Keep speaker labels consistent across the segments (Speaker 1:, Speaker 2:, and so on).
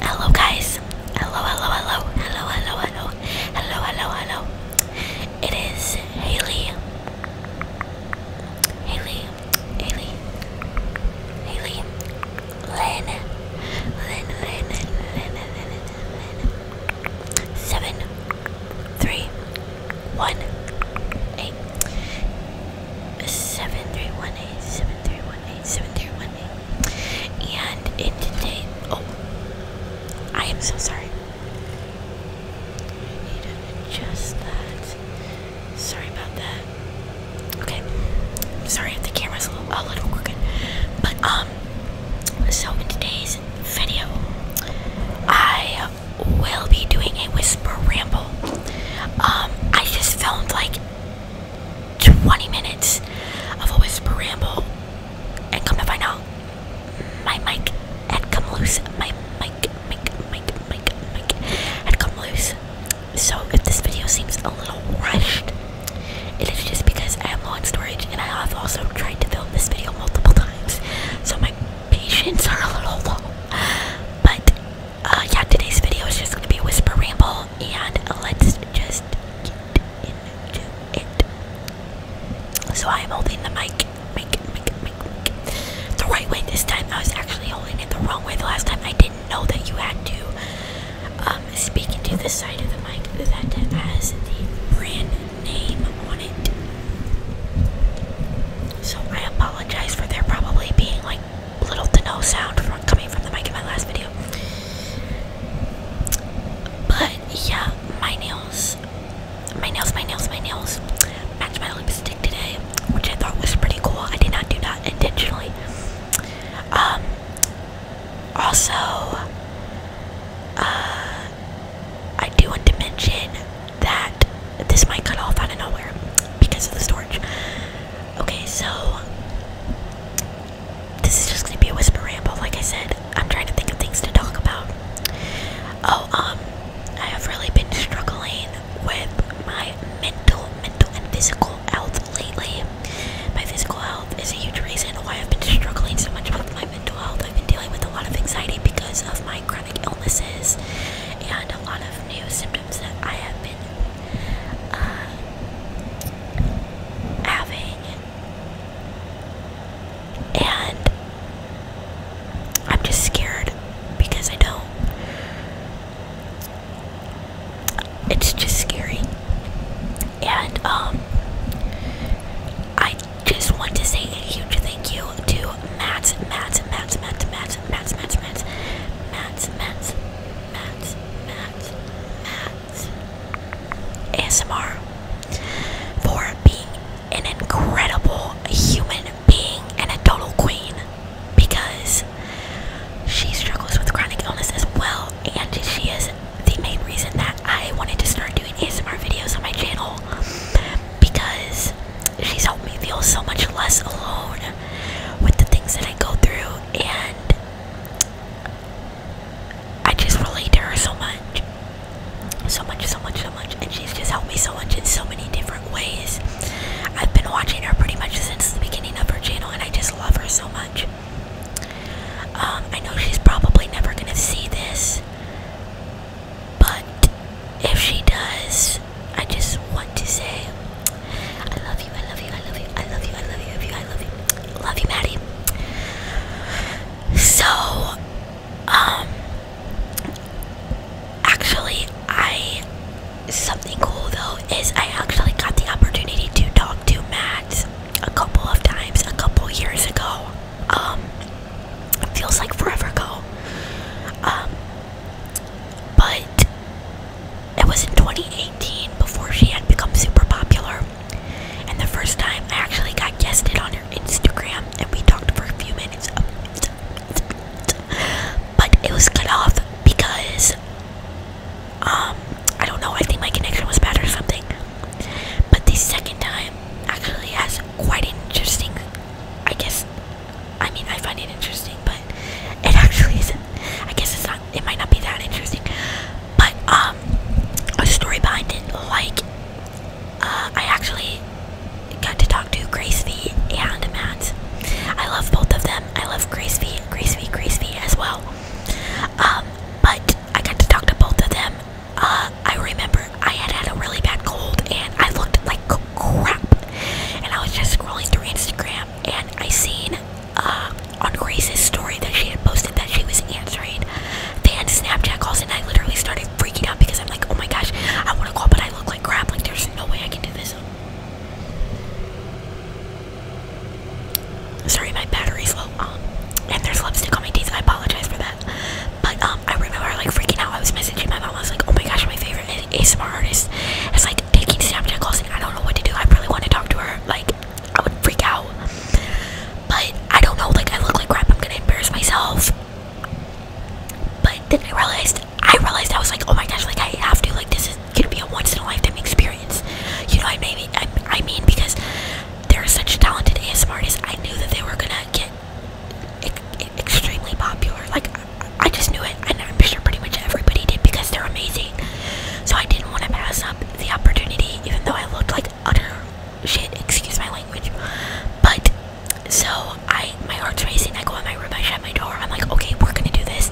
Speaker 1: Hello guys. Hello, hello, hello, hello, hello, hello, hello, hello, hello. It is Haley. Haley. Haley. Haley. Lynn. Lynn, Lynn, Lynn, Lynn, Lynn, Lynn. Seven. Three. One. Eight. Seven three one eight seven three 8, And in today, oh, I am so sorry. I need to adjust that. Sorry about that. Okay, sorry if the camera's a little, a little crooked. But, um, so in today's video, I will be doing a whisper ramble. Um, I just filmed like 20 minutes of a whisper ramble, and come to find out, my mic had come loose. My mic, mic, mic, mic, mic had come loose. So if this video seems a little rushed, it is just because I am low on storage, and I have also tried to film this video multiple times, so my patience are a little low. But uh, yeah, today's video is just gonna be whisper ramble, and let's just get into it. So I am holding the mic, mic, mic, mic, mic, the right way this time. I was actually holding it the wrong way the last time. I didn't know that you had to um, speak into the side of the mic that has the brand name on it. So I apologize for there probably being like little to no sound coming from the mic in my last video. But yeah, my nails, my nails, my nails, my nails match my lipstick today, which I thought was pretty cool. I did not do that intentionally. Um, also, uh, I do want to mention that this might cut off out of nowhere because of the storage. Okay, so this is just gonna be a whisper ramble. Like I said, I'm trying to think of things to talk about. Oh, um, I have really been struggling with my mental, mental, and physical health lately. My physical health is a huge reason why I've been struggling so much with my mental health. I've been dealing with a lot of anxiety because of my chronic illnesses and a lot of new symptoms that I have been uh, having, and I'm just scared because I don't. It's just scary, and um, I just want to say a huge thank you to Matt, Matt, Matt, Matt, Matt, Matt, Matt, Matt, Matt, ASMR for being an incredible human being and a total queen because she struggles with chronic illness as well, and she is the main reason that I wanted to start doing ASMR videos on my channel because she's helped me feel so much less alone with the things that I go through, and I just relate to her so much. So much, so much, so much. And she's just helped me so much in so many different ways. I've been watching her pretty much since the beginning of her channel, and I just love her so much. Um, I know she's probably never gonna see this, but if she does, just I just want to say I love you, I love you, I love you, I love you, I love you, I love you, I love you. Love you, Maddie. So um actually I something cool though is I actually got the opportunity to talk to Matt a couple of times a couple years ago. Um it feels like forever ago. Um but it was in 2018 before she had become super popular. And the first time I actually got guested on her Instagram and we talked for a few minutes. But it was cut off because um I don't know, I think my connection was bad or something. But the second time actually has quite interesting I guess I mean, I find it interesting, but it actually isn't. I guess it's not. It might not be that interesting, but um, a story behind it. Like, uh, I actually got to talk to Grace V and Matt. I love both of them. I love Grace V, Grace V, Grace V as well. Um, but I got to talk to both of them. Uh, I remember I had had a really bad cold, and I looked like crap and I was just scrolling through Instagram and I seen uh, on Grace's story that she had posted that she was answering fan Snapchat calls and I literally started freaking out because I'm like, oh my gosh, I want to call but I look like crap. Like there's no way I can do this. Sorry, my battery's low. Um, and there's lipstick on my teeth. I apologize for that. But um, I remember like freaking out. I was messaging my mom. I was like, oh my gosh, my favorite favorite ASMR artist It's like taking Snapchat calls and I don't know what to do. I really want to talk to her. Like I would freak out. But I don't know, like I look like crap, I'm gonna embarrass myself. But then I realized I realized I was like, oh my gosh, like I have to, like this is gonna be a once in a lifetime experience. You know, I mean, I, I mean because they're such talented ASM artists. I knew that they were gonna get extremely popular. Like I just knew it, and I'm sure pretty much everybody did because they're amazing. So I didn't want to pass up the opportunity, even though I looked like utter shit. Excuse my language, but so I, my heart's racing. I go in my room, I shut my door. I'm like, okay, we're gonna do this.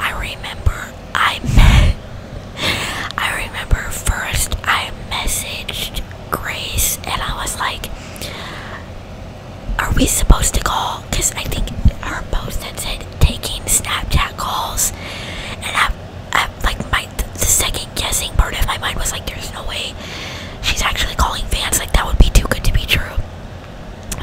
Speaker 1: I remember I met. I remember first I messaged Grace, and I was like, are we supposed to call? Because I think our post that said taking Snapchat calls, and I, I like my the second guessing part of my mind was like, there's no way she's actually calling fans. Like that would be too good to be true.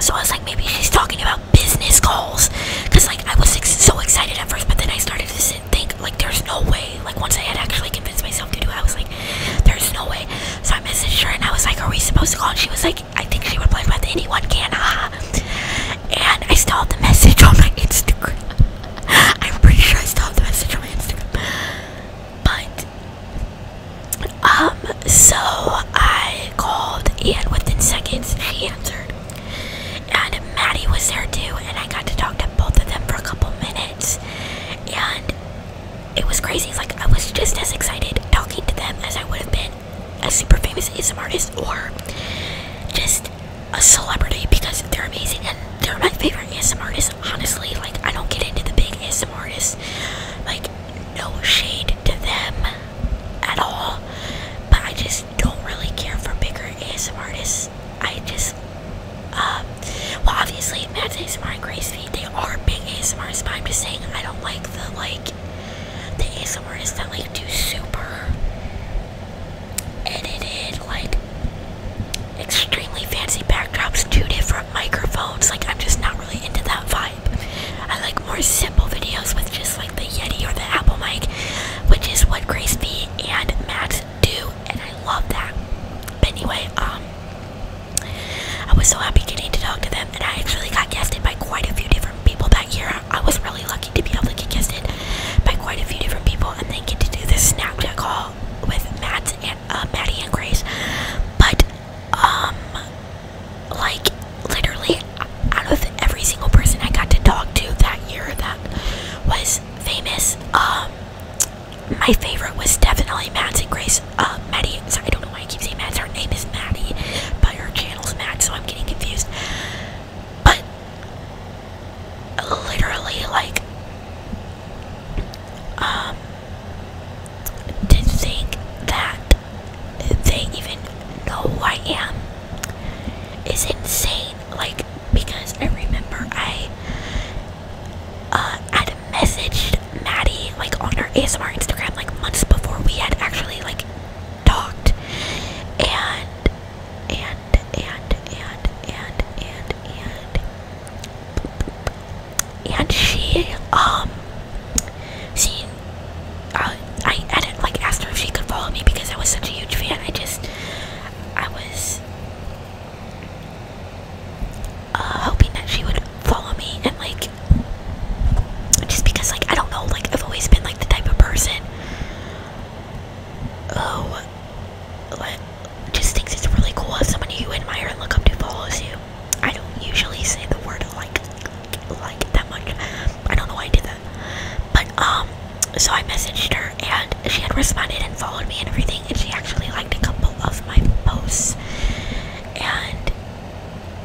Speaker 1: So I was like, maybe she's talking about business calls, because like I was so excited at first, but then I started to think like, there's no way. Like once I had actually convinced myself to do, it, I was like, there's no way. So I messaged her and I was like, Are we supposed to call? And she was like, I think she would replied with anyone can, haha. And I still the message on my Instagram. I'm pretty sure I still the message on my Instagram. But um, so I called and within seconds he answered. And Maddie was there too, and I got to talk to both of them for a couple minutes. And it was crazy. Like I was just as excited talking to them as I would have been a super famous ASM artist or just a celebrity because they're amazing and they're my favorite ASM artist. Honestly, like I don't get into the big ASM artists. Like no shade to them at all, but I just don't really care for bigger ASM artists. I just um, well, obviously, Matt's ASMR and Grace Feed, they are big ASMRs, but I'm just saying I don't like the, like, the ASMRs that, like, do super edited, like, extremely fancy backdrops, two different microphones. Like, I'm just not really into that vibe. I like more simple videos with just, like, the Yeti or the Apple mic, which is what Grace Feed and Matt do, and I love that. But anyway, um, I was so happy getting to talk to them, and I actually got guested by quite a few different people that year. I was really lucky to be able to get guested by quite a few different people, and then get to do this Snapchat call with Matt and uh, Maddie and Grace. But um, like literally, out of every single person I got to talk to that year that was famous, um, my favorite was definitely Matt's and Grace. Uh, Maddie. So I don't know why I keep saying Matt's. Her name is Maddie, but her channel's Matt, so I'm getting confused. But literally, like, um, to think that they even know who I am is insane. Like, because I remember I uh, had messaged Maddie like on our ASMR Instagram like months before we had actually like talked, and and and and and and and and she um she uh, I had like asked her if she could follow me because I was such a huge fan. I just I was uh, hoping that she would follow me and like just because like I don't know like I've always been like the type of person who just thinks it's really cool if someone you admire and look up to follows you. I don't usually say the word like like that much. I don't know why I did that. But um so I messaged her and she had responded and followed me and everything and she actually liked a couple of my posts and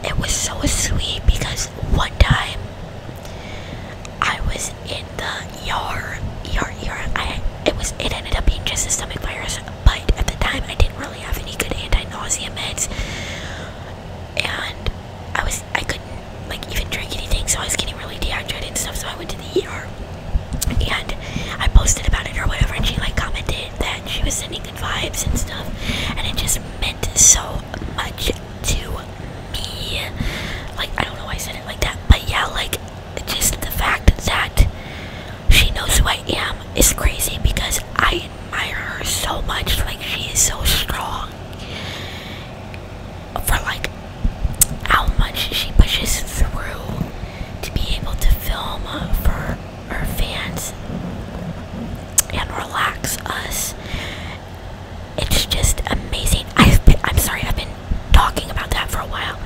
Speaker 1: it was so sweet because one time I was in the yard, yard, yard. I it was it ended up being just a stomach virus, but at the time I didn't really have any good anti-nausea meds, and I was I couldn't like even drink anything, so I was getting really dehydrated and stuff. So I went to the ER and I posted about it or whatever, and she like commented that she was sending good vibes and stuff, and it just meant so much to me. Like I don't know why I said it like that, but yeah, like just the fact that she knows who I am is crazy because I admire her so much. Like she is so strong for like how much she pushes through to be able to film for our fans and relax us. It's just amazing. I've been, I'm sorry, I've been talking about that for a while.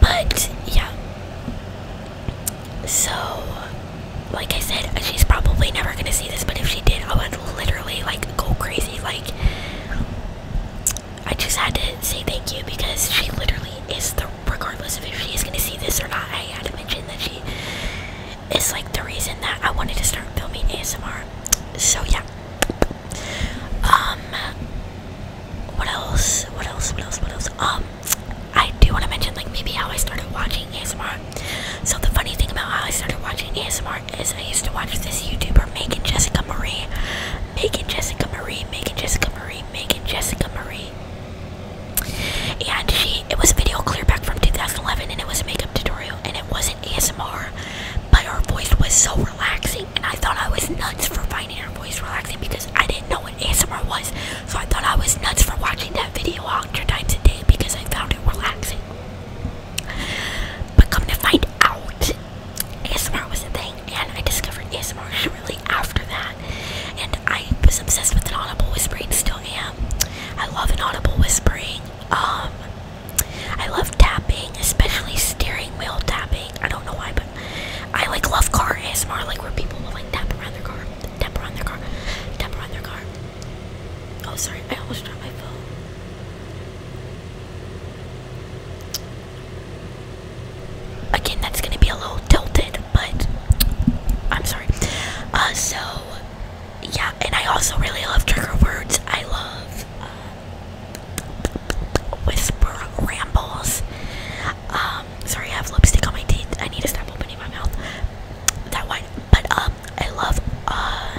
Speaker 1: But yeah. So, like I said, she's probably never gonna see this, but if she did, I would literally like go crazy. Like, I just had to say thank you because she literally is the, regardless of if she is going to see this or not, I had to mention that she is like the reason that I wanted to start filming ASMR. So yeah. Um, what else? What else? What else? What else? Um, I do want to mention like maybe how I started watching ASMR. So the funny thing about how I started watching ASMR is I used to watch this YouTuber making Jessica Marie, Megan Jessica Marie, Megan Jessica Marie, Megan Jessica Marie. And she, it was a video clear back from 2011 and it was a makeup tutorial and it wasn't ASMR, but her voice was so relaxing and I thought I was nuts for finding her voice relaxing because I didn't know what ASMR was. So I thought I was nuts for watching that video a hundred times a day because I found it relaxing. But come to find out, ASMR was the thing, and I discovered ASMR shortly after that. And I was obsessed with inaudible whispering, still am. I love inaudible whispering. Um, I love tapping, especially steering wheel tapping. I don't know why, but I like love car ASMR, like where people will like tap around their car, tap around their car, tap around their car. Oh, sorry, I almost dropped my phone. Again, that's gonna be a little tilted, but I'm sorry. Uh, so yeah, and I also really love trigger words. I love uh, whisper rambles. Um, sorry, I have lipstick on my teeth. I need to stop opening my mouth. That one, but um, I love uh,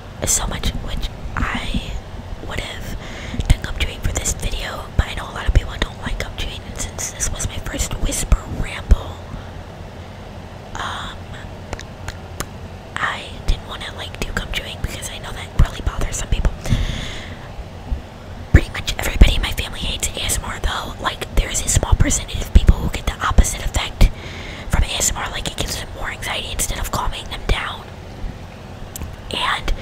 Speaker 1: so much which I would have done gum chewing for this video, but I know a lot of people don't like gum chewing, and since this was my first whisper ramble, um, I didn't want to like do come chewing because I know that really bothers some people. Pretty much everybody in my family hates ASMR, though. Like, there's a small percentage of people who get the opposite effect from ASMR, like it gives them more anxiety instead of calming them down. And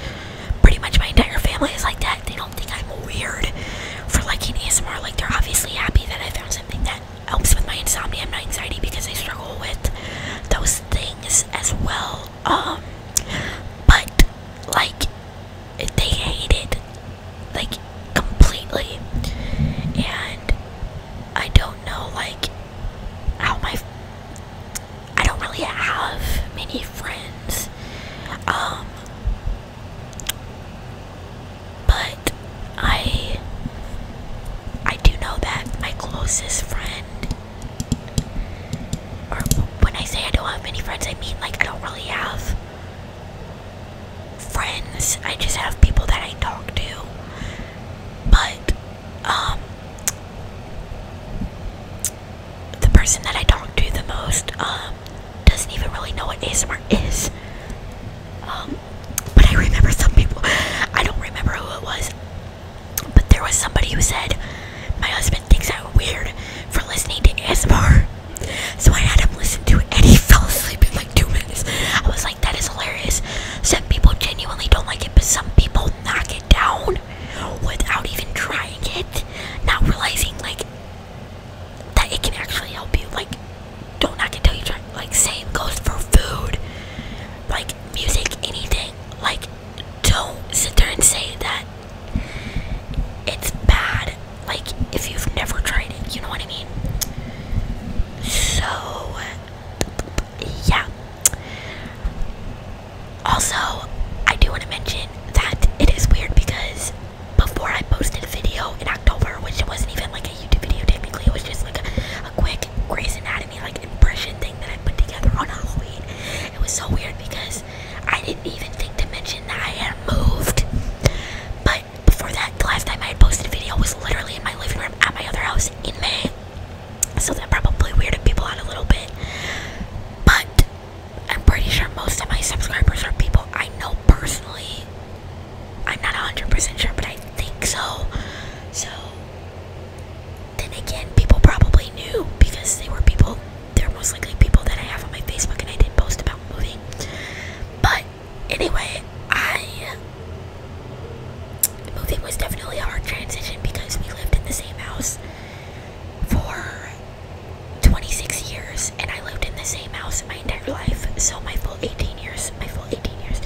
Speaker 1: pretty much my entire family is like that. They don't think I'm weird for liking ASMR. Like they're obviously happy that I found something that helps with my insomnia and my anxiety because I struggle with those things as well. Um, but like they hate it like completely, and I don't do like how my I don't really have many friends. Um but I I do know that my closest friend or when I say I don't have many friends I mean like I don't really have friends. I just have people that I talk to but um, the person that I talk to the most um, doesn't even really know what ASMR is. Um, but I remember some people I don't remember who it was. But there was somebody who said my husband thinks I'm weird for listening to ASMR. So I had him listen to it and he fell asleep two minutes. I was like, that is hilarious. Some people genuinely don't like it, but some people knock it down without even trying it, not realizing like that it can actually help you. Like, don't knock it till you try. Like, same goes for food, like music, anything. Like, don't sit there and say that it's bad. Like, if you've never tried it, you know what I mean? So, yeah. Also, I do want to mention that it is weird because before I posted a video in October, which it wasn't even like a YouTube video technically, it was just like a, quick Grey's Anatomy like impression thing that I put together on Halloween. It was so weird because I didn't even think to mention that I had moved, but before that, the last time I had posted a video was literally in my living room at my other house in May. So that probably weirded people out a little bit. But I'm pretty sure most of my subscribers are people I know personally. I'm not 100% sure, but I think so. So then again, people probably knew because they were people, they're most likely people that I have on my Facebook and I did post about moving. But Anyway, I moving was definitely a hard transition because we lived in the same house for 26 years, and I lived in the same house my entire life. So my full 18 years, my full 18 years,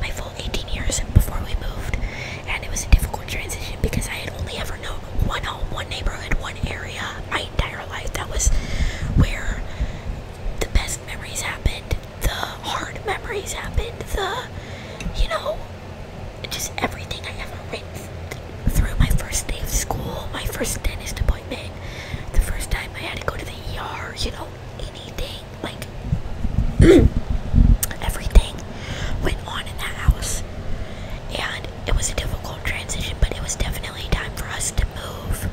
Speaker 1: my full 18 years before we moved, and it was a difficult transition because I had only ever known one home, one neighborhood, one area my entire life. That was where the best memories happened the hard memories happened, the, you know, just everything I ever went through my first day of school, my first dentist appointment, the first time I had to go to the ER, you know, anything, like, everything went on in that house. And it was a difficult transition, but it was definitely time for us to move.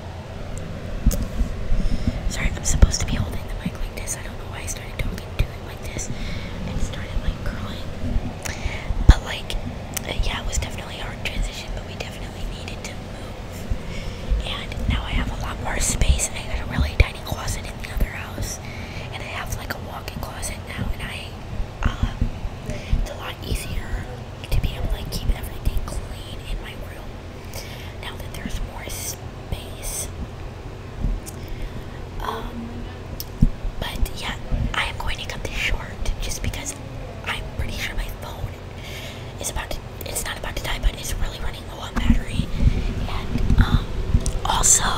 Speaker 1: Sorry, I'm supposed to be holding the mic like this. I don't know why I started talking to it like this and started like curling. But like, uh, yeah, it was definitely a hard transition, but we definitely needed to move. And now I have a lot more space. I got a really tiny closet in the other house, and I have like a walk-in closet now, and I, uh, it's a lot easier to be able to keep everything clean in my room. Now that there's more space. Um, but yeah, I am going to cut this short just because I'm pretty sure my phone is about it's not about to die, but it's really running low on battery. And, um, also,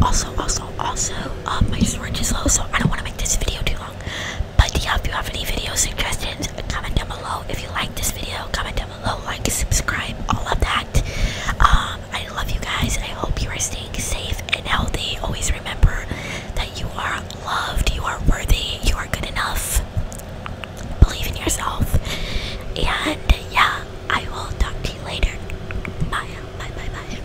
Speaker 1: also, also, also, uh, my storage is low, so I don't want to make this video too long. But yeah, if you have any video suggestions, comment down below. If you like this video, comment down below, like, subscribe, all of that. Um, I love you guys. I hope you are staying safe and healthy. Always remember that you are loved, you are worthy, you are good enough. Believe in yourself. And yeah, I will talk to you later. Bye, bye, bye, bye.